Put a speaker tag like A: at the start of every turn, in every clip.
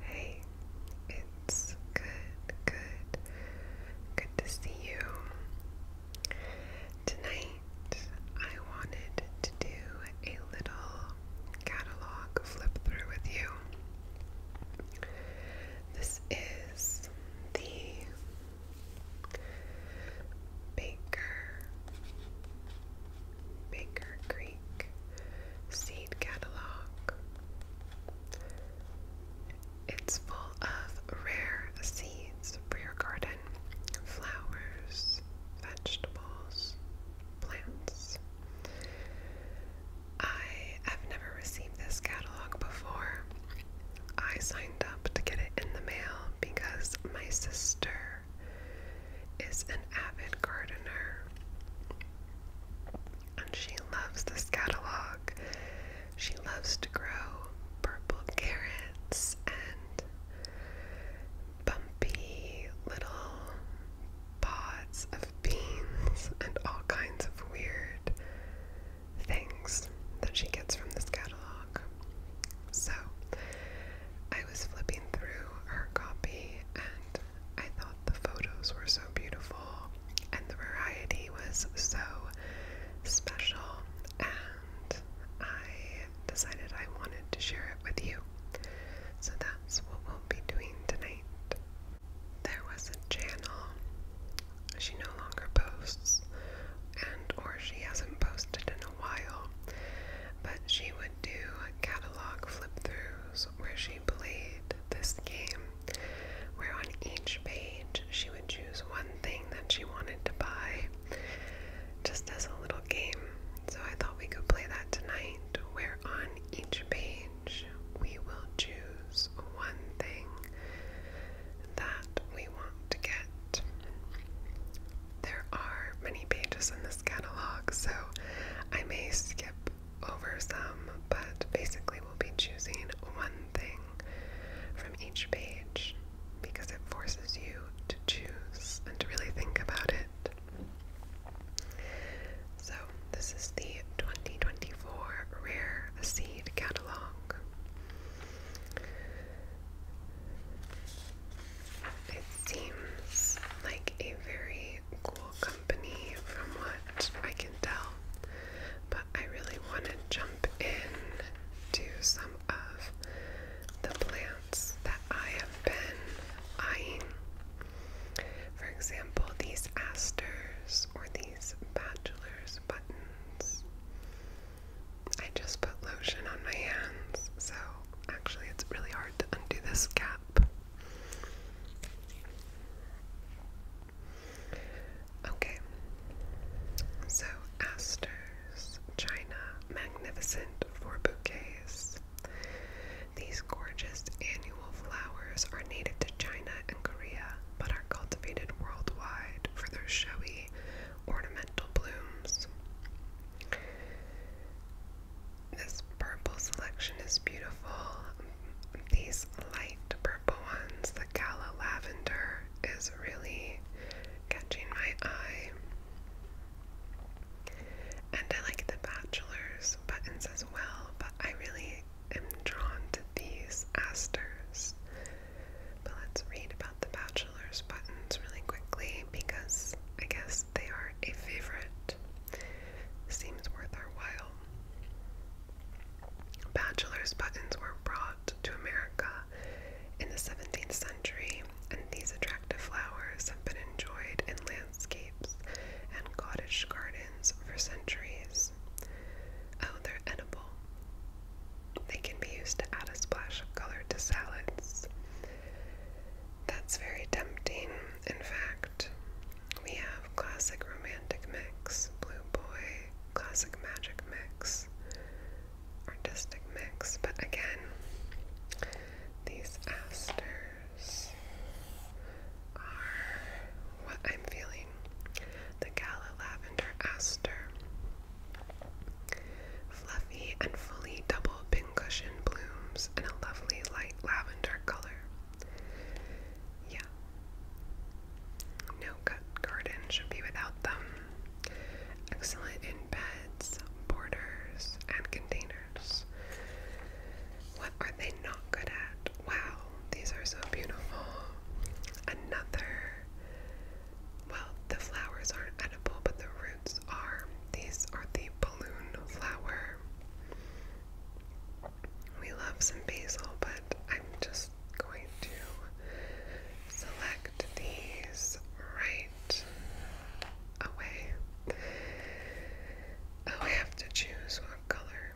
A: Hey, it's good, good, good to see you. Tonight, I wanted to do a little catalog flip through with you. This is the Baker Baker Creek seed catalog. It's full of rare seeds for your garden, flowers, vegetables, plants. I have never received this catalog before. I signed up to get it in the mail because my sister is an avid gardener and she loves this catalog. She loves to grow purple carrots and bumpy little pods of beans and all kinds of weird things that she gets from this catalog. So I was flipping through her copy and I thought the photos were so beautiful and the variety was so special, and I decided I wanted to share it with you. So that's what we'll be doing tonight. There was a channel. She no longer posts and or she hasn't posted in a while. But she would do catalog flip throughs where she played this game, where on each page she would choose one thing that she wanted to buy just as a little game. So I thought we could play that tonight, where on each page we will choose one thing that we want to get. There are many pages in this catalog, so I may skip over some, but basically we'll be choosing one thing from each page because it forces you to choose and to really think about it. So, this is the 2024 Rare Seed Catalog. It seems like a very cool company from what I can tell, but I really want to jump in to some of the plants that I have been eyeing. For example, these asters or these bachelor's buttons. I just put lotion on my hands, so actually, it's really hard to undo this gap. Okay, so Astor's China Magnificent for bouquets. These gorgeous annual flowers are native to China and Korea, but are cultivated worldwide for their showy ornamental blooms. This purple selection is beautiful. These light purple ones, the Gala Lavender, is really catching my eye. And I like the Bachelor's buttons as well, but I really am drawn to these asters. But let's read about the Bachelor's buttons really quickly because I guess they are a favorite. Seems worth our while. Bachelor's buttons were brought to America in the 17th century, and these attractive flowers have been enjoyed in landscapes and cottage gardens for centuries. Oh, they're edible. They can be used to add a splash of color to salads. That's very tempting in fact, we have Classic Romantic Mix, Blue Boy, Classic Magic Mix, Artistic Mix, but again, these asters are what I'm feeling. The Gala Lavender Aster. Fluffy and fully double pincushion blooms in a lovely light lavender color. Yeah. No cut garden should be without them. Excellent in beds, borders, and containers. What are they not good at? Wow, these are so beautiful. Another. Well, the flowers aren't edible, but the roots are. These are the balloon flower we love some basil, but I'm just going to select these right away. Oh, I have to choose what color.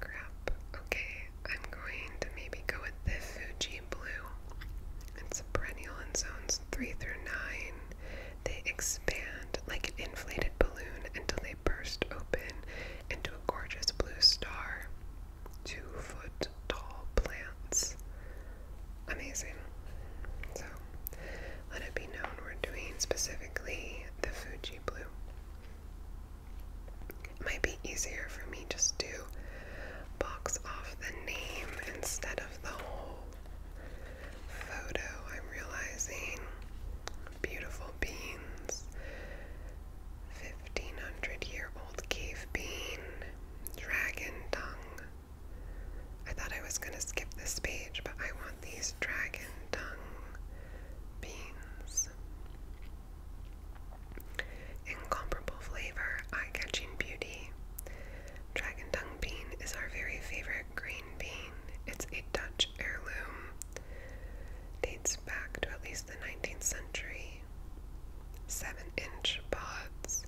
A: Crap. Okay, I'm going to maybe go with the Fuji blue. It's perennial in zone three through nine, they expand like an inflated balloon until they burst open into a gorgeous blue star. Two foot tall plants. Amazing. So, let it be known we're doing specifically the Fuji blue. It might be easier for me just to box off the name instead of the whole photo, I'm realizing beautiful beans, 1500 year old cave bean, dragon tongue. I thought I was going to skip this page, but I want these dragon dung beans. Incomparable flavor, eye catching beauty. Dragon tongue bean is our very favorite green bean. It's a Dutch heirloom. Dates back to at least the 19th century. Seven inch pods.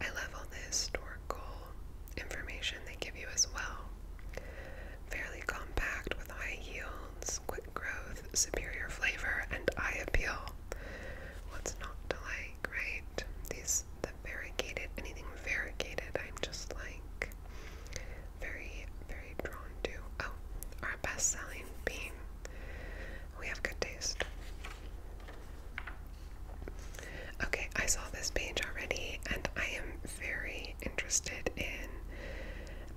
A: I love all the historical information they give you as well. Fairly compact with high yields, quick growth, superior flavor, and eye appeal. What's not to like, right? These variegated, anything variegated, I'm just like very, very drawn to. Oh, our best selling bean. We have good taste. Okay, I saw this page already, and I am very interested in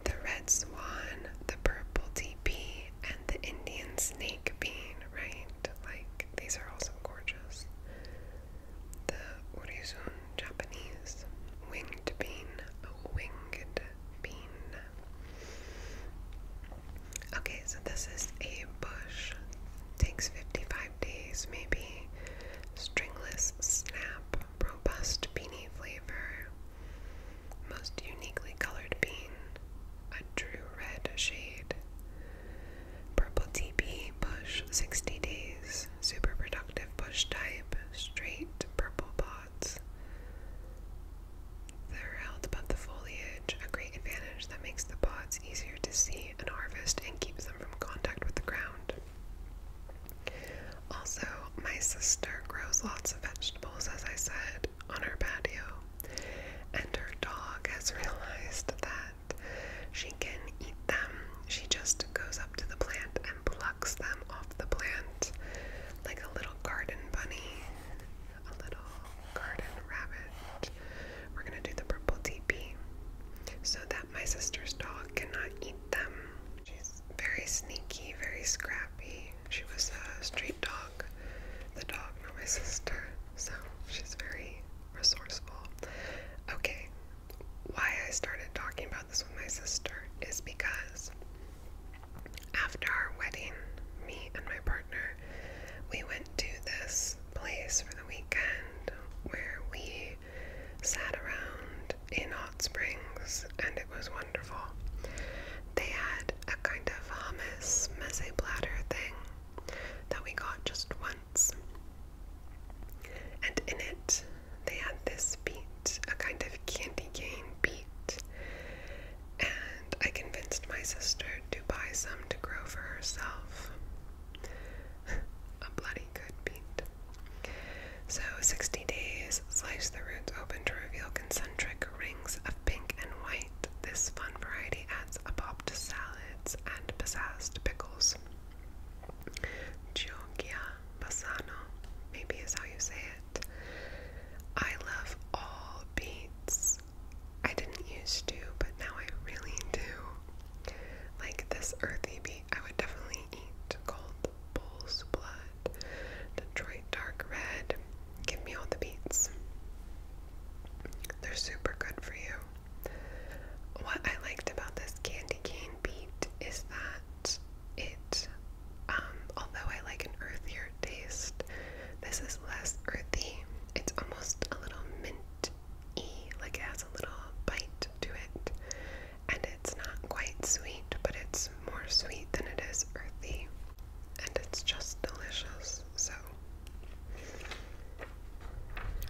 A: the red swan, the purple TP, and the Indian snake bean, right? Like, these are also gorgeous the orizon Japanese winged bean, a winged bean. Okay, so this is a bush. Takes 55 days, maybe. Stringless snap, robust beanie flavor. Most uniquely colored bean, a true red shade. Purple TP Bush 60 Days Super Productive Bush Type Straight Purple Pots. They're held above the foliage, a great advantage that makes the pods easier to see and harvest and keeps them from contact with the ground. Also, my sister grows lots of vegetables, as I said, on her patio, and her dog has realized that she can eat them. She just goes up to the plant and plucks them off the plant like a little garden bunny, a little garden rabbit. We're going to do the purple teepee so that my sister's dog cannot eat them. She's very sneaky, very scrappy. She was a street dog, the dog, not my sister, so she's very resourceful. Okay, why I started talking about this with my sister is because after our wedding, me and my partner, we went to this place for the weekend where we sat around in hot springs and it was wonderful. They had a kind of hummus meze thing that we got just once and in it, they had this beat, a kind of candy cane beat. And I convinced my sister to buy some to grow for herself. a bloody good beat. So, 60 days, slice the roots open to reveal concentric rings of pink and white. This fun variety adds a pop to salads and pizzazzed pickles. Gioia Bassano, maybe is how you say it. I love all beats. I didn't used to, but now I really do. Like this earthy beat, I would definitely eat Cold Bull's Blood, Detroit Dark Red. Give me all the beats. They're super good for you. What I liked about this candy cane beat is that it, um, although I like an earthier taste, this is less earthy. It's almost a little mint y, like it has a little bite to it. And it's not quite sweet, but it's more sweet than it is earthy. And it's just delicious, so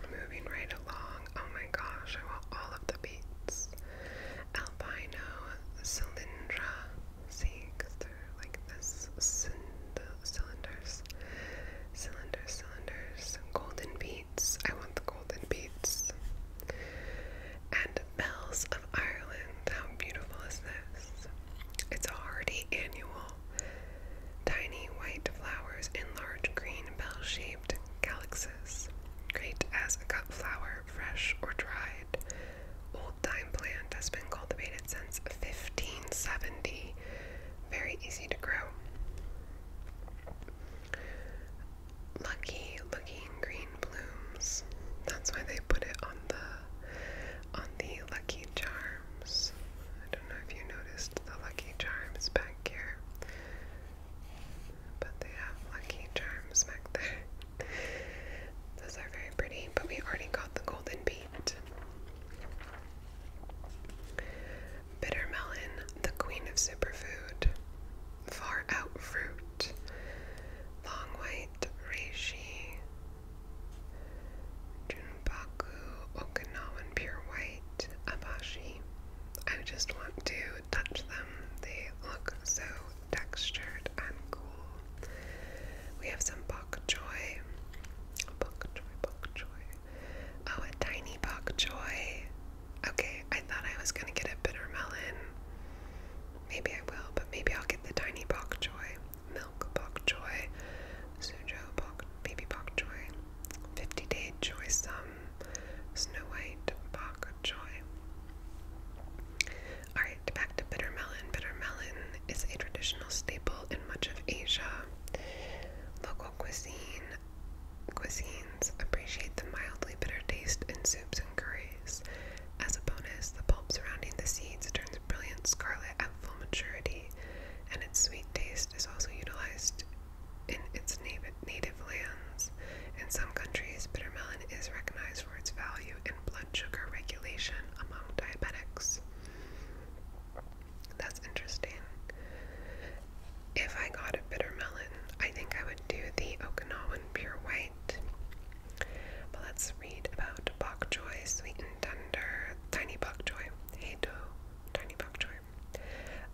A: Moving right along, oh my gosh, I want all of the beats. Albino Cylindra, see, like this cylinders, cylinders, cylinders, golden beats. I want the golden beats. And Bells of Ireland, how beautiful is this? It's a hardy annual. Tiny white flowers in large green bell shaped named great as a cut flower, fresh or dried. Old-time plant has been cultivated since 1570. Very easy to grow. Lucky looking green blooms. That's why they put it on the on the lucky charms. I don't know if you noticed the lucky charms back here. But they have lucky charms back there. Those are very pretty, but we already got the golden beet. Bitter melon, the queen of superfood. Far out fruit. Long white reishi. Junbaku, Okinawan pure white, abashi. I just want to touch them. They look so textured and cool. We have some bok choy. Bok choy, bok choy. Oh, a tiny bok choy. Okay, I thought I was gonna get a bitter melon. Maybe I will, but maybe I'll get the tiny bok choy. Milk bok choy. Sujo bok, baby bok choy. 50 day choy sum. Snow White Bok Choy. Alright, back to bitter melon. Bitter melon is a traditional staple in much of Asia. Local cuisine cuisines appreciate the mildly bitter taste in soups and curries. As a bonus, the pulp surrounding the seeds turns brilliant scarlet at full maturity, and its sweet taste is also utilized in its native, lands. In some countries, bitter melon is recognized for its value in blood sugar regulation among diabetics. That's interesting. If I got a bitter melon, I think I would do the Okinawan pure white. But let's read about bok choy, and tender, tiny bok choy, heido, tiny bok choy.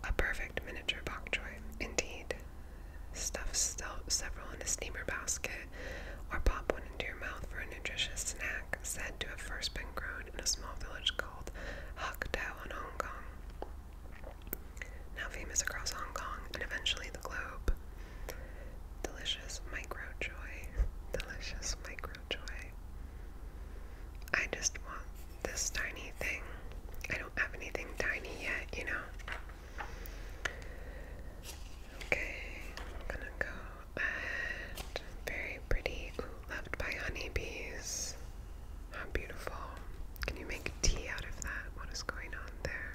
A: A perfect miniature bok choy, indeed. Stuff several in a steamer basket or pop one into your mouth for a nutritious snack said to have first been grown in a small village called Hok Tau in Hong Kong. Now famous across Hong Kong and eventually the globe. Delicious micro joy. Delicious micro joy. I just want this tiny thing. I don't have anything tiny yet, you know. Okay, I'm gonna go at very pretty. loved by honeybees. How beautiful. Can you make tea out of that? What is going on there?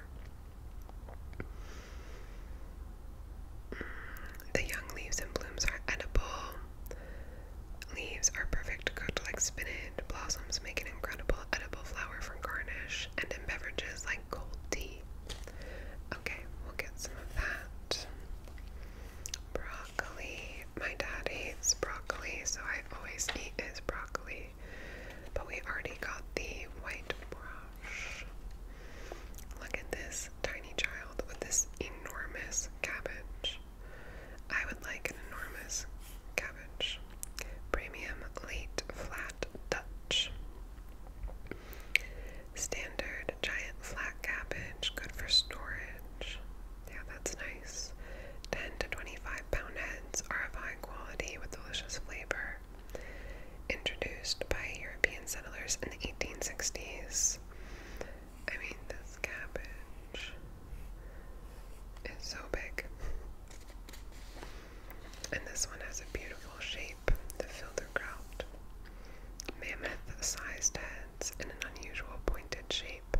A: Mm, the young leaves and blooms are edible. Leaves are perfect cooked like spinach. Blossoms make an incredible edible flower for garnish and in beverages like cold tea. Okay, we'll get some of that. Broccoli. My dad hates broccoli, so I always eat his broccoli. But we already got the white brush. Look at this tiny child with this enormous cabbage. I would like an enormous cabbage. Premium late flat Dutch. Standard giant flat cabbage, good for storage. Yeah, that's nice. 10 to 25 pound heads are of high quality with delicious flavor. Introduced by European settlers in the 1860s. I mean, this cabbage is so big. And this one has a beautiful shape, the Filderkraut. Mammoth sized heads in an unusual pointed shape,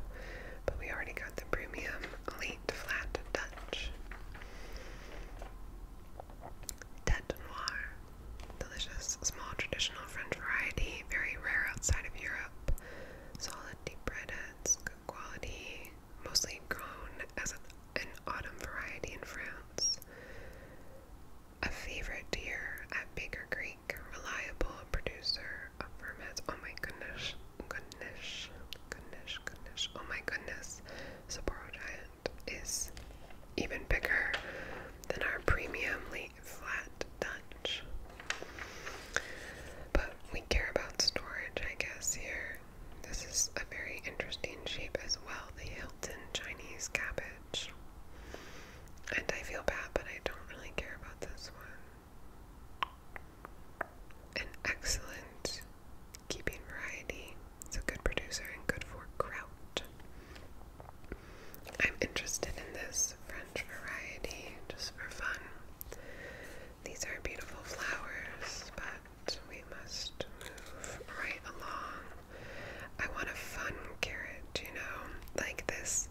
A: but we already got the premium late flat Dutch. Tête Noire. Delicious, small, traditional French variety, very rare outside of Europe. Solid deep red that's good quality, mostly grown as an, an autumn variety in France. A favorite year at Baker Creek, reliable producer of ferments. Oh my goodness, goodness, goodness, goodness. Oh my goodness, Sapporo Giant is even bigger than our premium late flat Dutch. But we care about storage, I guess, here. This is a very interesting shape as well, the Hilton Chinese cabbage. And I feel bad, but I don't really care about this one. An excellent keeping variety. It's a good producer and good for kraut. I'm interested in this French variety just for fun. These are beautiful flowers, but we must move right along. I want a fun carrot, you know, like this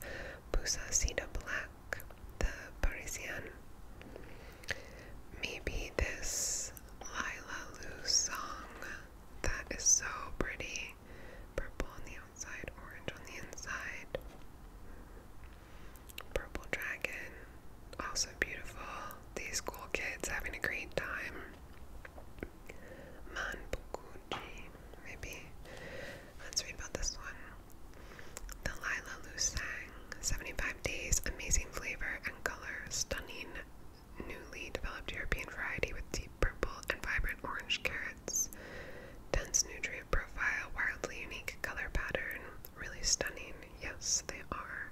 A: Pusacita Black, the Parisian. Maybe this Lila Lou song that is so pretty. Purple on the outside, orange on the inside. Purple Dragon, also beautiful. These cool kids having a great time. Manbukuji, maybe. Let's read about this one. The Lila Lusang, 75 days, amazing flavor and color, stunning, newly developed European variety with deep purple and vibrant orange carrots. Dense nutrient profile, wildly unique color pattern, really stunning. Yes, they are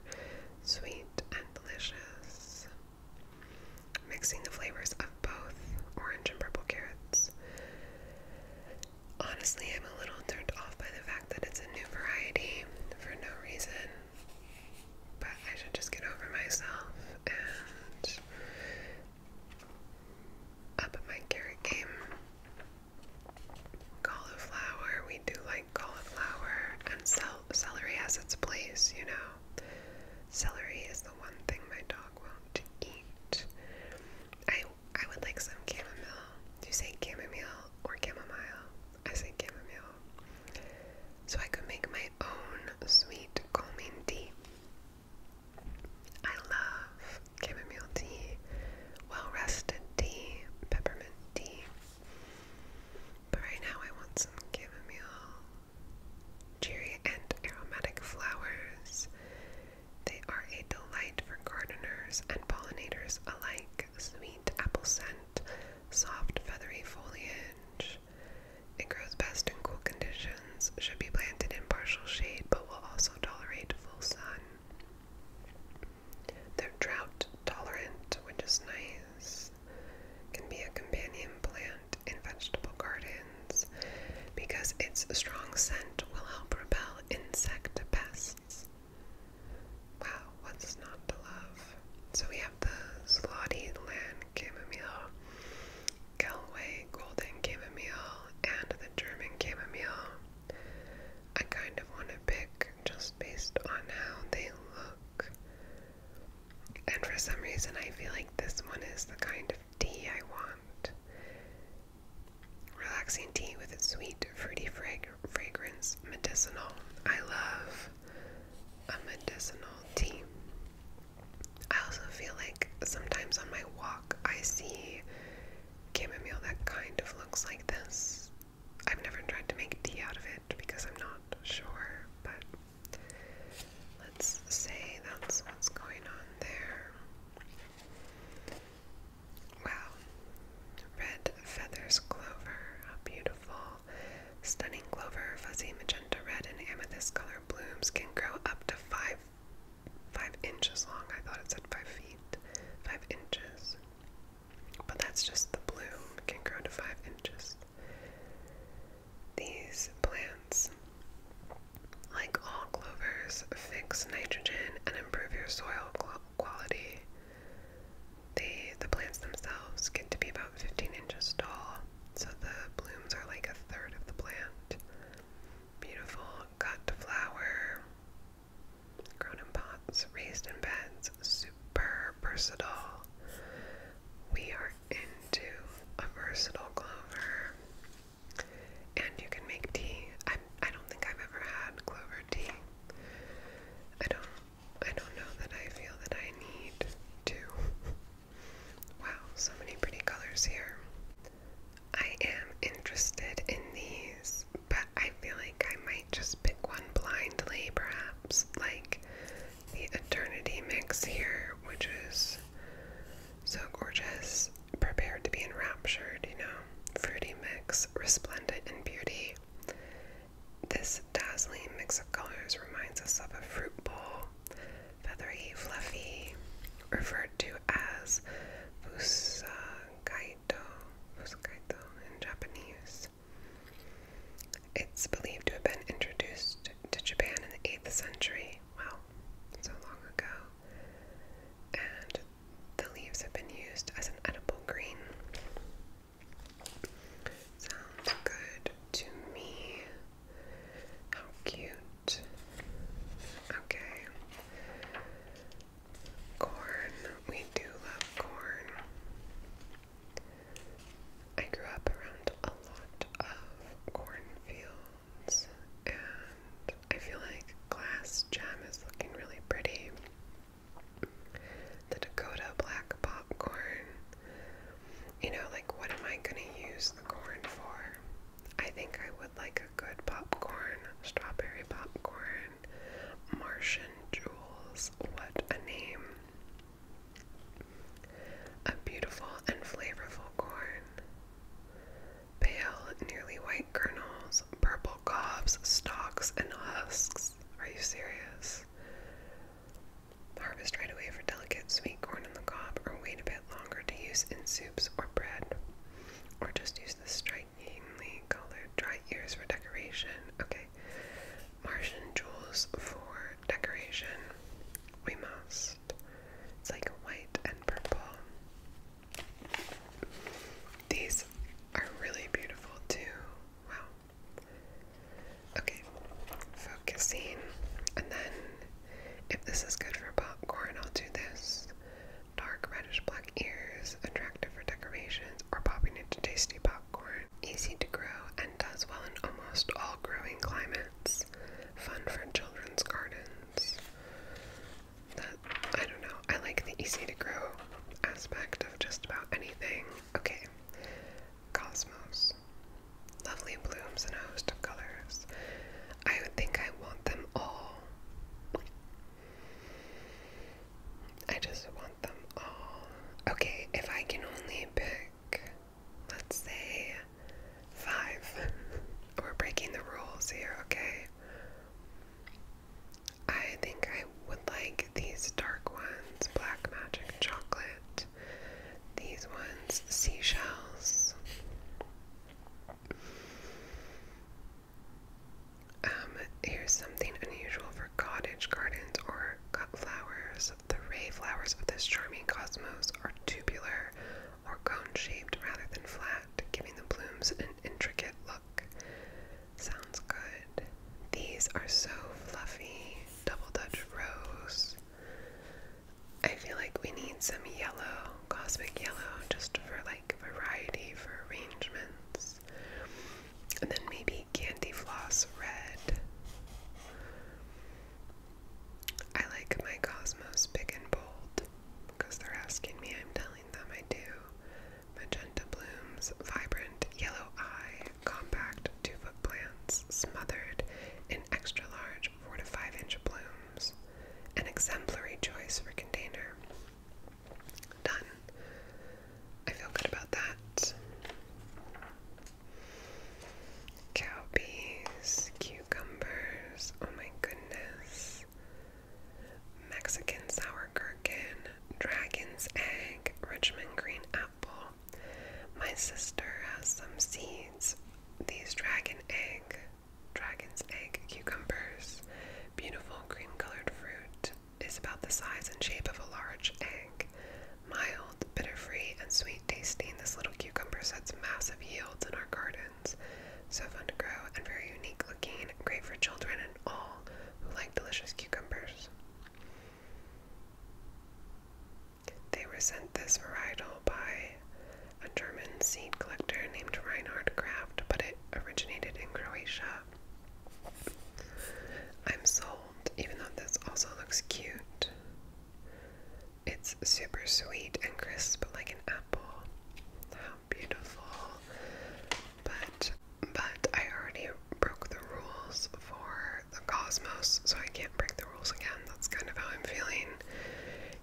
A: sweet and delicious. Mixing the flavors of both orange and purple carrots. Honestly, I'm a little turned off by the fact that it's a new variety for no reason. But I should just get over myself and up my carrot game. Cauliflower, we do like cauliflower, and celery has its place, you know. Celery is the one thing my dog won't eat. I I would like some chamomile. you say chamomile or chamomile? I say chamomile. So I could make my own sweet calming tea. I love chamomile tea, well rested tea, peppermint tea. But right now I want some chamomile, cheery and aromatic flowers. They are a delight for gardeners and pollinators alike. Sweet apple scent, soft feathery foliage. It grows best in cool conditions, should be planted in partial shade, but will also tolerate full sun. They're drought tolerant, which is nice. Can be a companion plant in vegetable gardens because its strong scent will help repel insect pests. Wow, what's not to love? So we have the slotty land chamomile, Galway golden chamomile, and the German chamomile. I kind of want to pick just based on how they look. And for some reason, I feel like this one is the kind of tea I want. Relaxing tea with its sweet, fruity frag fragrance, medicinal. I love a medicinal tea. I also feel like sometimes on my walk, I see chamomile that kind of looks like this. I've never tried to make tea out of it because I'm not sure, but let's say that's what's going on there. Wow. Red feathers clover, how beautiful. Stunning clover, fuzzy magenta red, and amethyst color blooms can grow up to five five inches long. I thought it said five feet, five inches. But that's just the bloom, can grow to five inches. These plants, like all clovers, fix nitrogen and improve your soil quality. They, the plants themselves get to be about 15 inches tall, so the blooms are like a third of the plant. Beautiful cut flower, Grown in pots, raised in beds, super versatile. We are into a versatile clover. And you can make tea. I I don't think I've ever had clover tea. I don't I don't know that I feel that I need to. Wow, so many pretty colors here. I am interested in these, but I feel like I might just pick one blindly, perhaps. Like the Eternity mix here, which is so gorgeous. Prepared to be enraptured, you know. Fruity mix, resplendent in beauty. This dazzling mix of colors reminds us of a fruit bowl, feathery, fluffy, referred to as Fusa Fuskaito, in Japanese. It's believed to have been introduced to Japan in the 8th century. Wow, so long ago. And the leaves have been used as an edible green. Sounds good to me. How cute. Okay. Corn. We do love corn. I grew up around a lot of cornfields, and I feel like glass gem is looking really pretty. The Dakota black popcorn. You know, like, what am I gonna use the corn for? I think I would like good popcorn, strawberry popcorn, Martian Jewels, what a name. A beautiful and flavorful corn. Pale, nearly white kernels, purple cobs, stalks, and husks. Are you serious? Harvest right away for delicate sweet corn in the cob, or wait a bit longer to use in soups or bread, or just use the straight finely colored dry ears for decoration. Okay. Martian jewels for decoration. We must. It's like white and purple. These are really beautiful too. Wow. Okay. Focusing. And then if this is good for popcorn, I'll do this dark reddish black ears, attractive for decorations or popping into tasty popcorn, easy to grow and does well in almost all growing climates, fun for children's gardens. I don't know, I like the easy to grow aspect of just about anything. Okay, cosmos. Lovely blooms and a host of colors. I would think I want them all. I just want them all. Okay, if I can only pick, let's say, five. We're breaking the rules here, okay? I think I would like these dark ones, black magic chocolate, these ones, seashells. Um, here's something unusual for cottage gardens or cut flowers. The ray flowers of this charming cosmos are tubular or cone shaped rather than flat, giving the blooms an intricate look. Sounds good. These are so fluffy. Double Dutch rose. I feel like we need some yellow, cosmic yellow, just for like variety for arrangements. And then maybe candy floss red. I like my Cosmos big and bold because they're asking me, I'm telling them I do. Magenta blooms, vibrant yellow eye, compact two foot plants, smothered in extra large four to five inch blooms. An exemplary choice for container. Done. I feel good about that. Cowpeas, cucumbers, oh my goodness. Mexican sour gherkin, dragon's egg, Richmond green apple. My sister has some seeds. These dragon egg dragon's egg cucumbers, beautiful green colored fruit, is about the size and shape of a large egg. Mild, bitter free, and sweet tasting, this little cucumber sets massive yields in our gardens. So fun to grow and very unique looking, great for children and all who like delicious cucumbers. They were sent this varietal by a German seed collector named Reinhard Kraft, but it originated in Croatia. I'm sold, even though this also looks cute. It's super sweet and crisp like an apple. How beautiful. But but I already broke the rules for the cosmos, so I can't break the rules again. That's kind of how I'm feeling.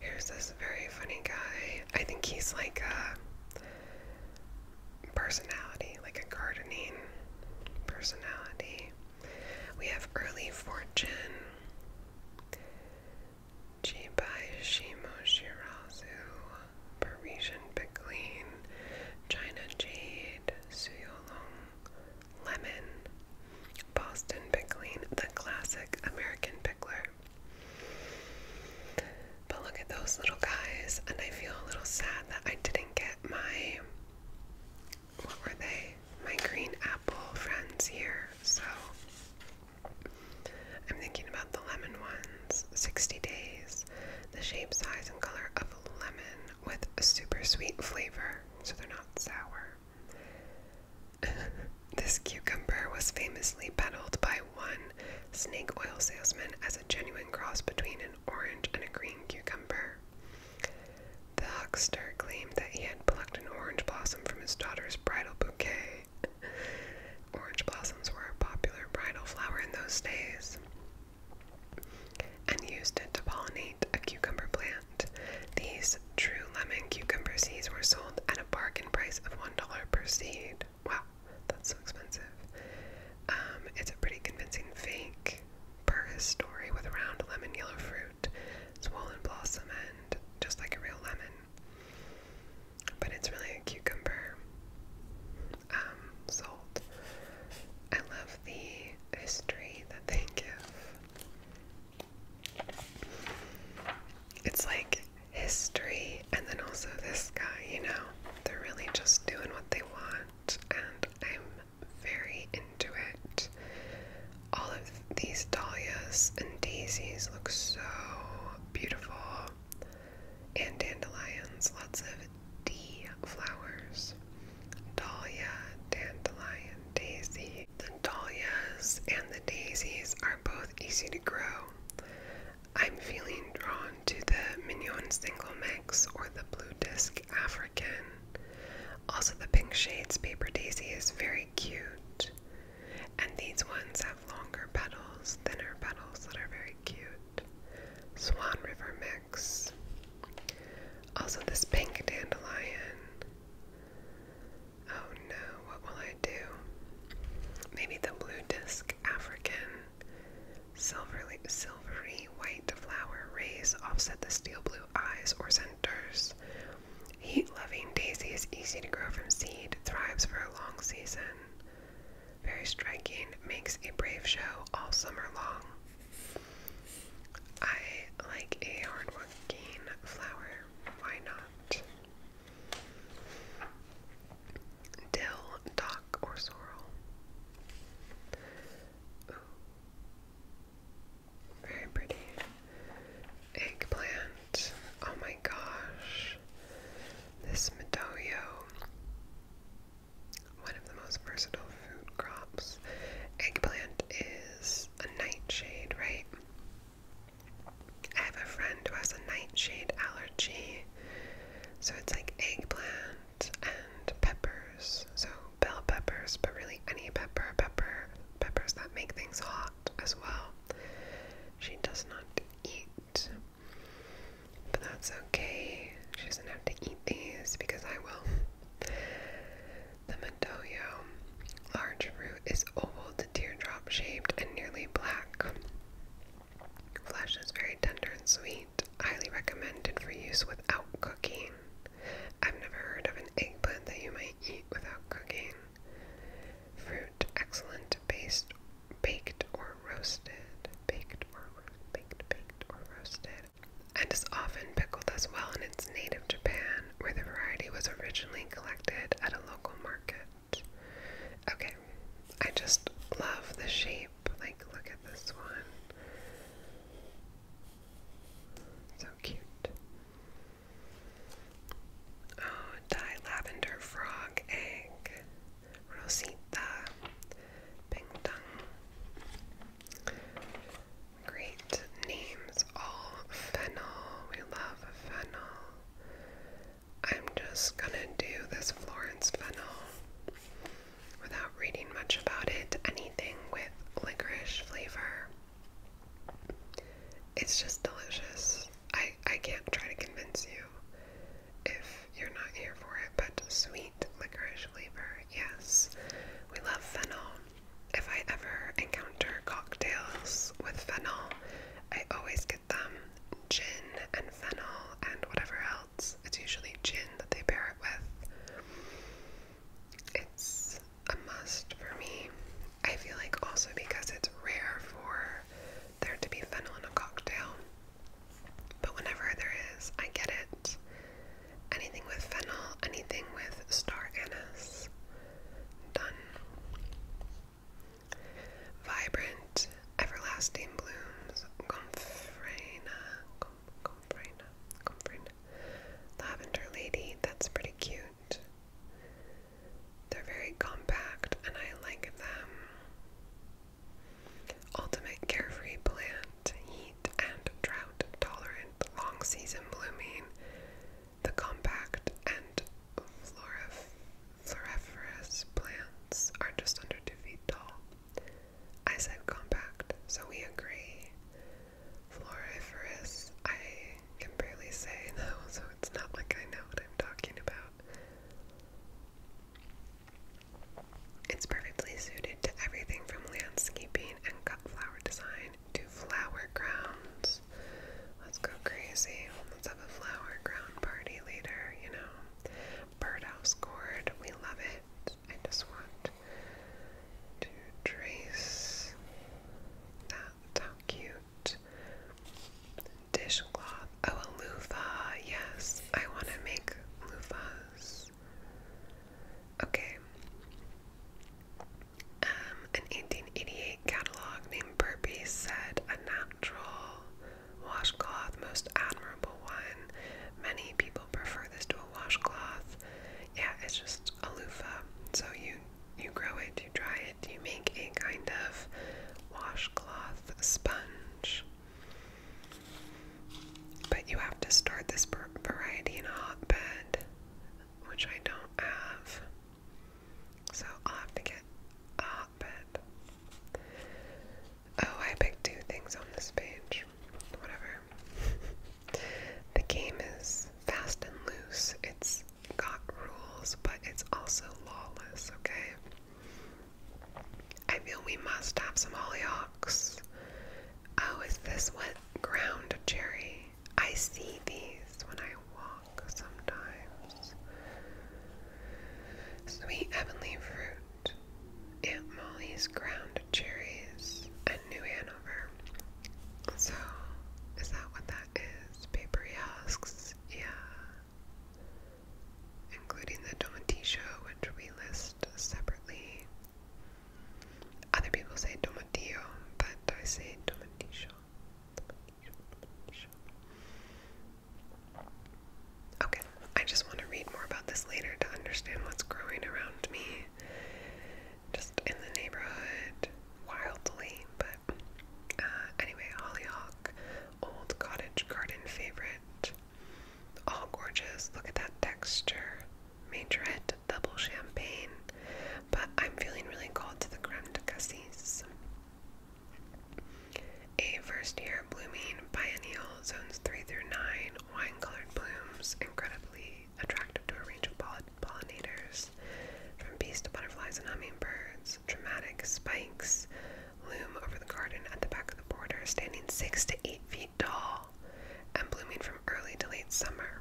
A: Here's this very funny guy. I think he's like a personality, like a gardening personality. We have early fortune. Chibai Shimo Shirazu, Parisian Pickling, China Jade, Suyolong, Lemon, Boston Pickling, the classic American pickler, but look at those little guys, and I feel a little sad that I didn't get my what were they? My green apple friends here. So I'm thinking about the lemon ones. 60 days. The shape, size, and color of lemon with a super sweet flavor, so they're not sour. this cucumber was famously peddled by one snake oil salesman as a genuine cross between an orange and a green cucumber. The huckster claimed that he had plucked an orange blossom from his daughter's bridal bouquet. Orange blossoms were a popular bridal flower in those days and used to pollinate a cucumber plant. These true lemon cucumber seeds were sold at a bargain price of $1 per seed. Wow, that's so expensive. Um, it's a pretty convincing fake per story with round lemon yellow fruit, swollen blossom end, just like a real lemon. But it's really a cucumber. Um, salt. I love the history that they give. It's like history, and then also this guy, you know, they're really just doing what they want, and I'm very into it. All of these dahlias and daisies look so beautiful, and dandelions, lots of D flowers. Dahlia, dandelion, daisy. The dahlias and the daisies are both easy to grow. I'm feeling drawn to the Mignon Single Mix or the Blue Disc African. Also, the Pink Shades Paper Daisy is very cute. And these ones have longer petals, thinner petals that are very cute. Swan River Mix. Also, this Pink Dandelion. Oh no, what will I do? Maybe the Blue Disc dusk African silvery white flower rays offset the steel blue eyes or centers. Heat-loving daisy is easy to grow from seed, thrives for a long season. Very striking, makes a brave show all summer long. I like a hardworking flower. Why not? dill, dock, or sorrel. Ooh. Very pretty. Eggplant. Oh my gosh. This Medoyo. One of the most versatile food crops. Eggplant is a nightshade, right? I have a friend who has a nightshade allergy, so it's like eggplant and peppers. So bell peppers, but really any pepper, pepper, peppers that make things hot as well. She does not eat, but that's okay. She doesn't have to eat these because I will. The Medoyo large root is oval teardrop shaped and nearly black. Flesh is very tender and sweet, highly recommended for use without cooking. I've never heard of an eggplant that you might eat without cooking. Fruit, excellent based, baked or roasted. Baked or Baked, baked or roasted. And is often pickled as well in its native Japan, where the variety was originally collected at a local market. Okay, I just love the shape. Like, look at this one. So cute. Oh, dye lavender frog egg. Rosita. Ping dong. Great names. All fennel. We love fennel. I'm just gonna do this Florence fennel without reading much about it. Anything with licorice flavor. It's just delicious. I, I can't try to convince you if you're not here for it, but sweet licorice flavor, yes. We love fennel. If I ever encounter cocktails with fennel, I always get them gin and fennel and whatever else. It's usually gin that they pair it with. It's a must for me. I feel like also because it's rare for there to be fennel in a cocktail. But whenever there is, I get it. Anything with fennel, anything with star anise. Done. Vibrant, everlasting blooms, Gomphrena, Gomphrena, Gomphrena, Lavender Lady, that's pretty cute. They're very compact and I like them. Ultimate carefree plant, heat and drought tolerant, long season blooming. The compact and florif Floriferous plants are just under two feet tall. I said compact, so we agree. Floriferous, I can barely say though, so it's not like I know what I'm talking about. It's perfectly suited to everything from landscaping and cut flower design to flower crowns. Let's go crazy. Let's have a flower crown party later, you know birdhouse cord, We love it. I just want to trace that. How cute. Dishcloth. Oh, a loofah. Yes, I want to make loofahs. Okay. Um, an 1888 catalog named Burpee said a natural washcloth, most admirable one. Many people prefer this to a washcloth. Yeah, it's just a loofah. So you you grow it, you dry it, you make a kind of washcloth sponge. But you have to start this variety in a hot bed, which I don't have. So I'll have to get a hot Oh, I picked two things on this page. Whatever. the game is fast and loose. It's got rules, but it's also lawless, okay? I feel we must have some hollyhocks. Oh, is this wet ground Jerry? I see these when I walk sometimes sweet heavenly fruit, Aunt Molly's ground cherries, and New Hanover. So, is that what that is? Papery husks, yeah. Including the tomatillo, which we list separately. Other people say tomatillo, but I say tomatillo. Okay, I just want to read more about this later to understand what's growing around me, just in the neighborhood, wildly. But uh, anyway, hollyhock, old cottage garden favorite, all gorgeous. Look at that texture, majorette, double champagne. But I'm feeling really called to the creme de cassis. A first year blooming biennial, zones 3 through 9, wine colored blooms, incredibly attractive to a range of pollinators, from bees to butterflies and hummingbirds. Dramatic spikes loom over the garden at the back of the border, standing 6 to 8 feet tall and blooming from early to late summer.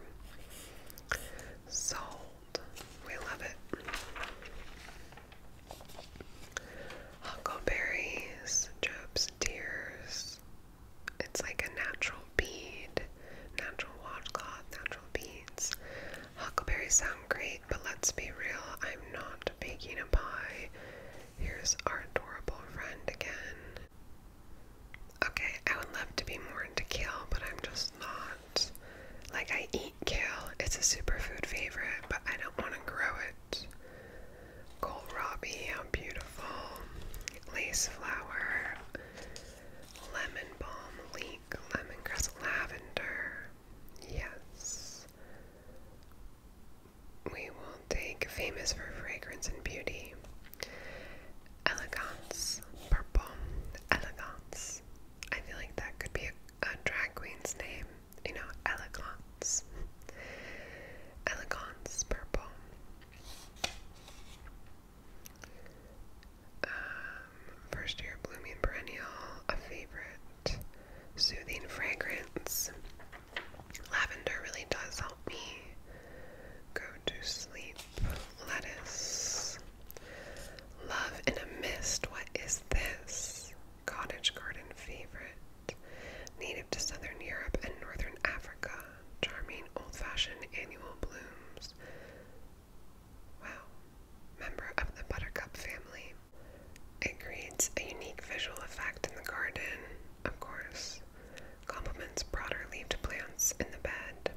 A: Sold. We love it. Huckleberries, Job's tears. It's like a natural bead, natural washcloth, natural beads. Huckleberries sound great, but let's be real, I'm not baking a pie. Here's our adorable friend again. Okay, I would love to be more into kale, but I'm just not. Like, I eat kale, it's a superfood favorite, but I don't want to grow it heart. Kohlrabi, how beautiful. Lace flower. Lemon balm, leek, lemongrass, lavender. Yes. We will take famous for fragrance and beauty. Elegance, purple, elegance. I feel like that could be a drag queen's name you know, elegance. Elegance purple. Um, first year blooming perennial, a favorite. Soothing fragrance. Lavender really does help me go to sleep. Lettuce. Love in a mist. What is this? cottage garden favorite, native to southern Europe and northern Africa, charming old-fashioned annual blooms. Wow, member of the buttercup family. It creates a unique visual effect in the garden, of course, complements broader leaved plants in the bed.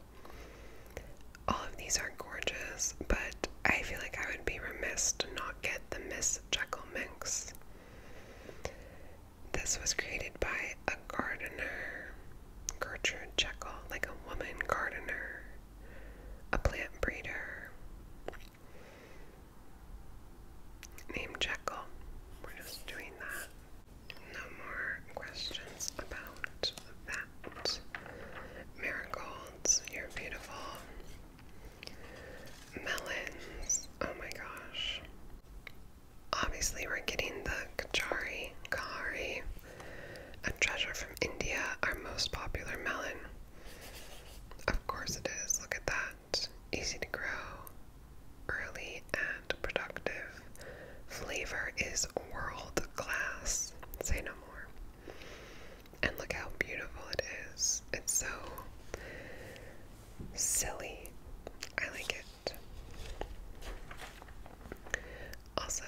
A: All of these are gorgeous, but I feel like I would be remiss to not get the Miss Jekyll mix. This was created by a gardener, Gertrude Jekyll, like a woman gardener, a plant breeder named Jekyll. We're just doing that. No more questions about that. Marigolds, you're beautiful. Melons. Oh my gosh. Obviously, we're getting the Kachari, Kahari, a treasure from India, our most popular melon. Of course, it is. Look at that. Easy to grow, early, and productive. Flavor is world class. Say no more. And look how beautiful it is. It's so silly. I like it. Also,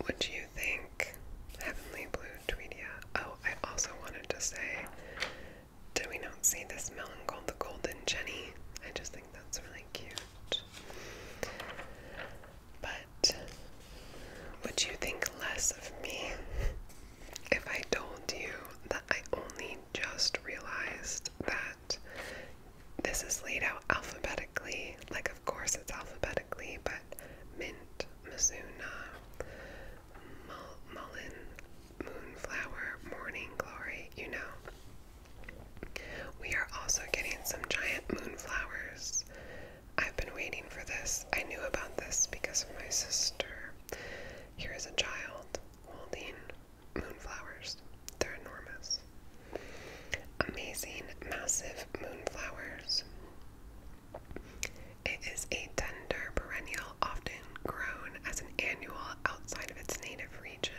A: what do you think? Heavenly Blue Tweedia. Oh, I also wanted to say, did we not see this melon called the Golden Jenny? I just think that's really cute. But, would you think less of me? if I told you that I only just realized that this is laid out alphabetically, like of course it's alphabetically, but mint, Mizuna, mullen, moonflower, morning glory, you know. We are also getting some giant moonflowers. I've been waiting for this. I knew about this because of my sister. Here is a child holding moonflowers. They're enormous. Amazing, massive moonflowers. It is a tender perennial, often grown as an annual outside of its native region.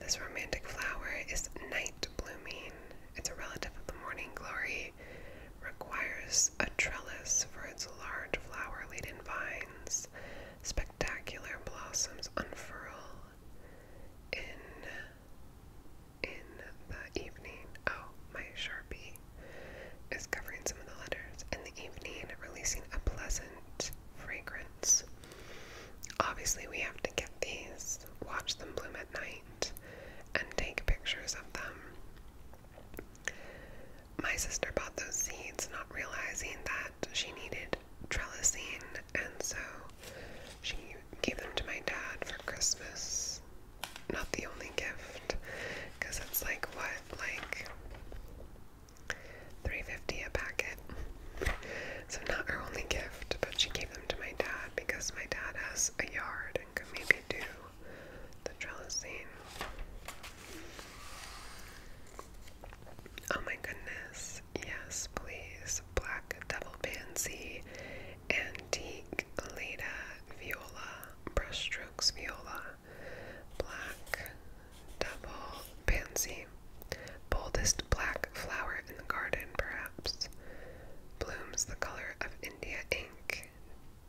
A: This romantic flower is night blooming. It's a relative of the morning glory, requires a trellis for its large flower laden vines, spectacular blossoms unfurl in in the evening. Oh, my Sharpie is covering some of the letters. In the evening, releasing a pleasant fragrance. Obviously, we have to get these, watch them bloom at night, and take pictures of them. My sister bought those seeds, not realizing that she needed trellising, and so she gave them to my dad for Christmas. Not the only gift, because it's like what, like three fifty a packet. So not her only gift, but she gave them to my dad because my dad has a yard maybe do the trellising. Oh my goodness, yes, please. Black Devil Pansy, Antique alita Viola, Brushstrokes Viola, Black double Pansy, boldest black flower in the garden, perhaps. Blooms the color of India ink,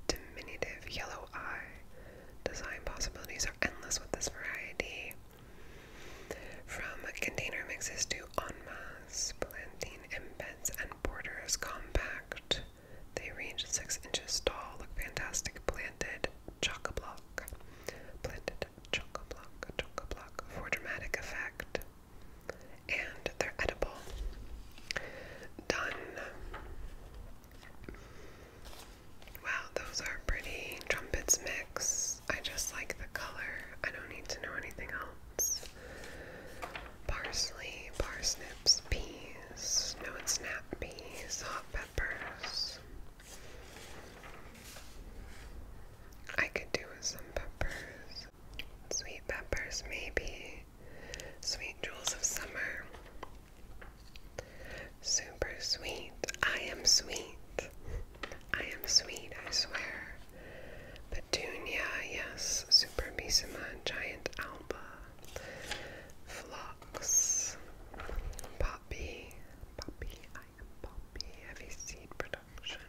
A: diminutive yellow eye. Design possibilities are endless with this variety. From container mixes to enmasse masse, planting embeds and borders compact. They range six inches tall, look fantastic, planted chock block Planted chock block chock block for dramatic effect. And they're edible. Done. Wow, those are pretty. Trumpets mix. I just like the color. I don't need to know anything else. Parsley, parsnips, peas, no it's snap peas, hot peppers. I could do with some peppers. Sweet peppers, maybe. Sweet jewels of summer. Super sweet. I am sweet. I am sweet, I swear. Petunia, yes. Super Bisima, Giant Alba. Phlox. Poppy. Poppy, I am Poppy. Heavy seed production.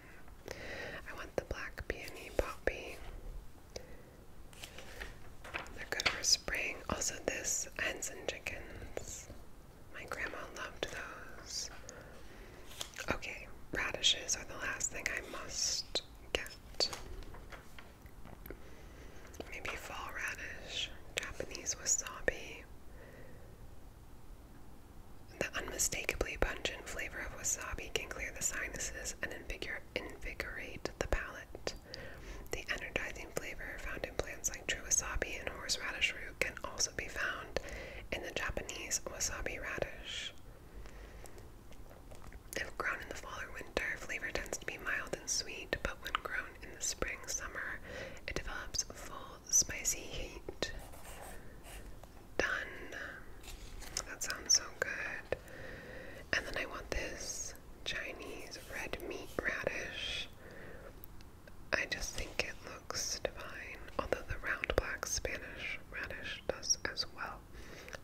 A: I want the black peony poppy. They're good for spring. Also, this hens and chickens. My grandma loved those. Okay, radishes are the last thing I must get. Maybe fall radish, Japanese wasabi. The unmistakably pungent flavor of wasabi can clear the sinuses and invigorate the palate. The energizing flavor found in plants like true wasabi and horseradish root can also be found in the Japanese wasabi radish. If grown in the fall or winter, flavor tends to be mild and sweet, but when grown in the spring, summer, it develops full spicy heat. Done. That sounds so good. And then I want this Chinese red meat radish. I just think it looks divine, although the round black Spanish radish does as well.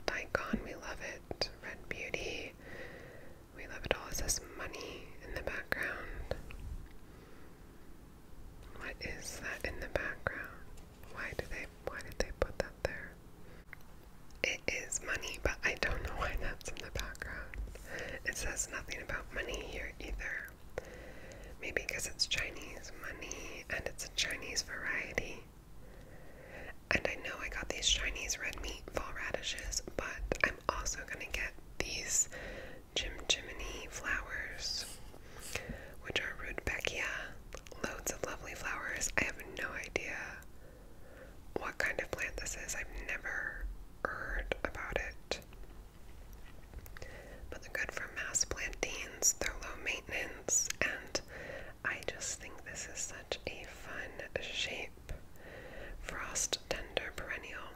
A: Daikon, we love it. Red beauty, we love it all. It says money in the background. What is that in the background? Why do they? Why did they put that? there. It is money, but I don't know why that's in the background. It says nothing about money here either. Maybe because it's Chinese money and it's a Chinese variety. And I know I got these Chinese red meat fall radishes, but I'm also going to get these Jim Jiminy flowers, which are root Rudbeckia. Loads of lovely flowers. I have no idea what kind of plant this is. I've never heard about it. But they're good for mass plantings, they're low maintenance, and I just think this is such a fun shape. Frost tender perennial.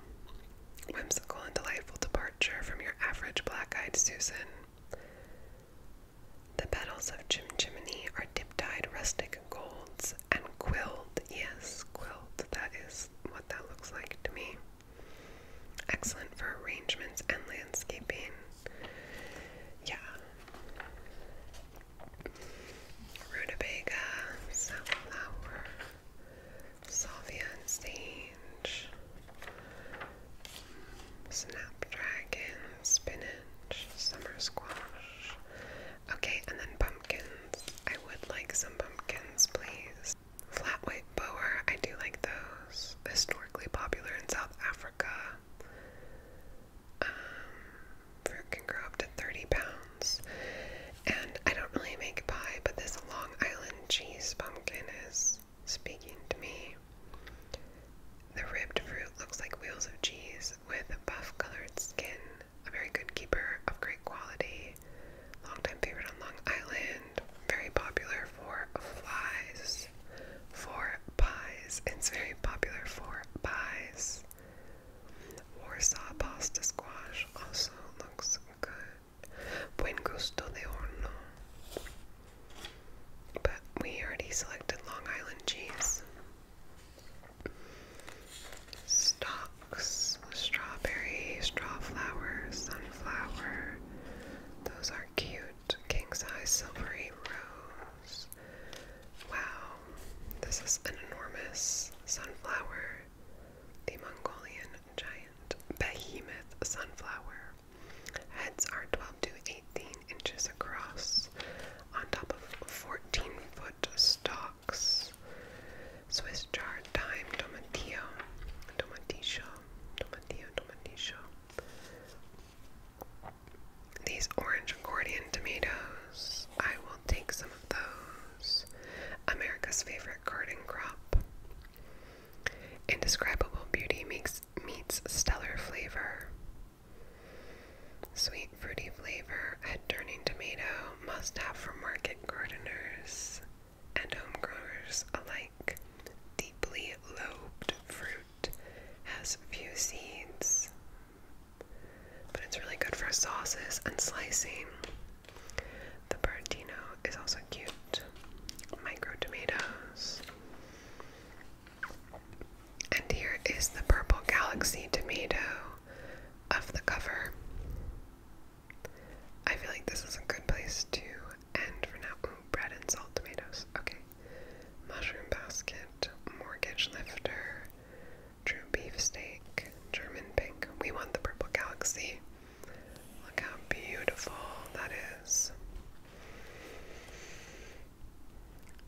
A: Whimsical and delightful departure from your average black eyed Susan. The petals of Jim Jiminy are dip-dyed rustic golds and quilted. Yes, quilled. That is what that looks like to me. Excellent for arrangements and landscaping. Yeah. Rutabaga, safflower, salvia and sage, snapdragon, spinach, summer squash, Okay, and then pumpkins. I would like some pumpkins, please. Flat white boer. I do like those. Historically popular in South Africa. Um, fruit can grow up to 30 pounds. And I don't really make pie, but this Long Island cheese pumpkin is speaking to me. The ribbed fruit looks like wheels of cheese. Rose with buff colored skin, a very good keeper of great quality, long-time favorite on Long Island, very popular for pies. for pies. It's very popular for pies. Warsaw pasta squash also looks good. Buen gusto de horno. But we already selected Long Island cheese. Stalks, strawberry, straw sunflower. Those are cute. King size silvery rose. Wow, this is an enormous sunflower. The Mongolian giant behemoth sunflower. Heads are 12 to 18 inches across on top of 14 foot stalks. Swiss chard, thyme, tomatillo, tomatillo, tomatillo, tomatillo. These orange accordion tomatoes, I will take some of those. America's favorite garden crop. Indescribable beauty makes meats stellar flavor. Sweet fruity flavor and Turning Tomato must have for market gardeners and home growers alike. Deeply lobed fruit has few seeds, but it's really good for sauces and slicing. The Bertino is also cute. Micro tomatoes. And here is the purple galaxy tomato of the cover. I feel like this is a good place to end for now. bread and salt tomatoes. Okay. Mushroom basket, mortgage lifter, true beefsteak, German pink. We want the purple galaxy. Look how beautiful that is.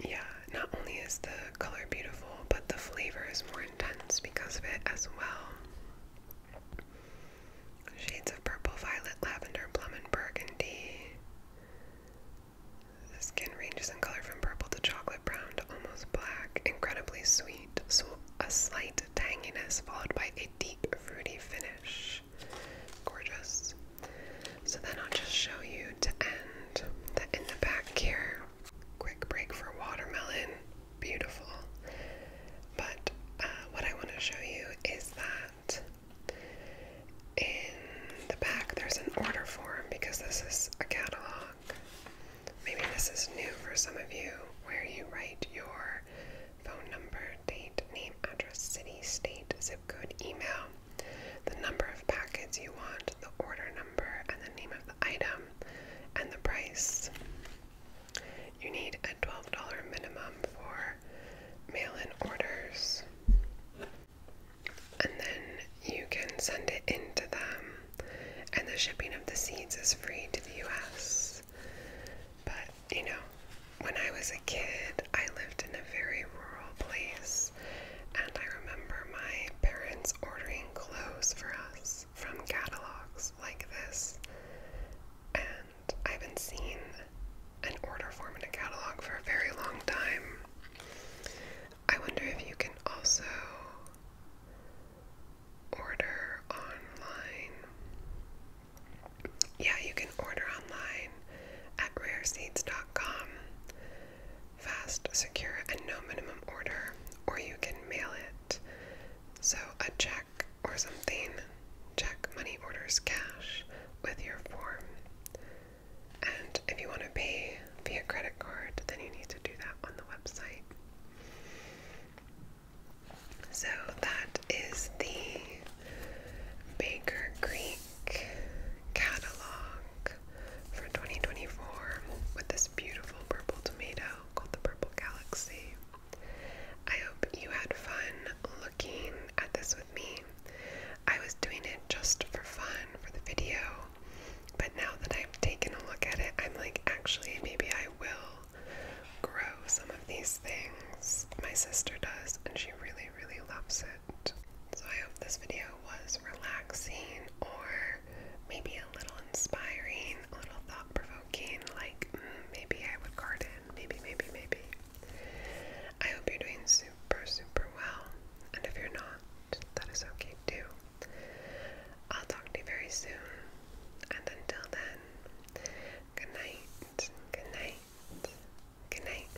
A: Yeah, not only is the color beautiful, but the flavor is more intense because of it as well. Shades of purple, violet, lavender, plum, and burgundy. The skin ranges in color from purple to chocolate brown to almost black. Incredibly sweet, so a slight tanginess followed by a deep fruity finish. Gorgeous. So then I'll just show you to end in the back here Quick break for watermelon. Beautiful. But uh, what I want to show you is that in the back there's an order form because this is a catalog. Maybe this is new for some of you where you write your phone number, date, name, address, city, state, zip code, email the number of packets you want, the order number, and the name of the item, and the price. You need a $12 minimum for mail in orders. And then you can send it into them, and the shipping of the seeds is free to the US. But, you know, when I was a kid, I lived in a very rural place and I remember my parents ordering clothes for us from catalogs like this. And I haven't seen an order form in a catalog for a very long time. I wonder if you can also order online. Yeah, you can order online at rareseeds.com fast, secure, and no minimum order, or you can mail it. So, a check or something. Check money orders cash with your form. And if you want to pay via credit card, then you need to do that on the website. So, that is the Baker Creek catalog for 2024 with this beautiful purple tomato called the Purple Galaxy. I hope you had fun looking at this with me. I was doing it just for fun for the video, but now that I've taken a look at it, I'm like, actually, maybe I will grow some of these things. My sister does, and she really, really loves it. So I hope this video was relaxing or are maybe a little inspiring, a little thought provoking, like mm, maybe I would garden, maybe, maybe, maybe. I hope you're doing super, super well. And if you're not, that is okay too. I'll talk to you very soon. And until then, good night, good night, good night.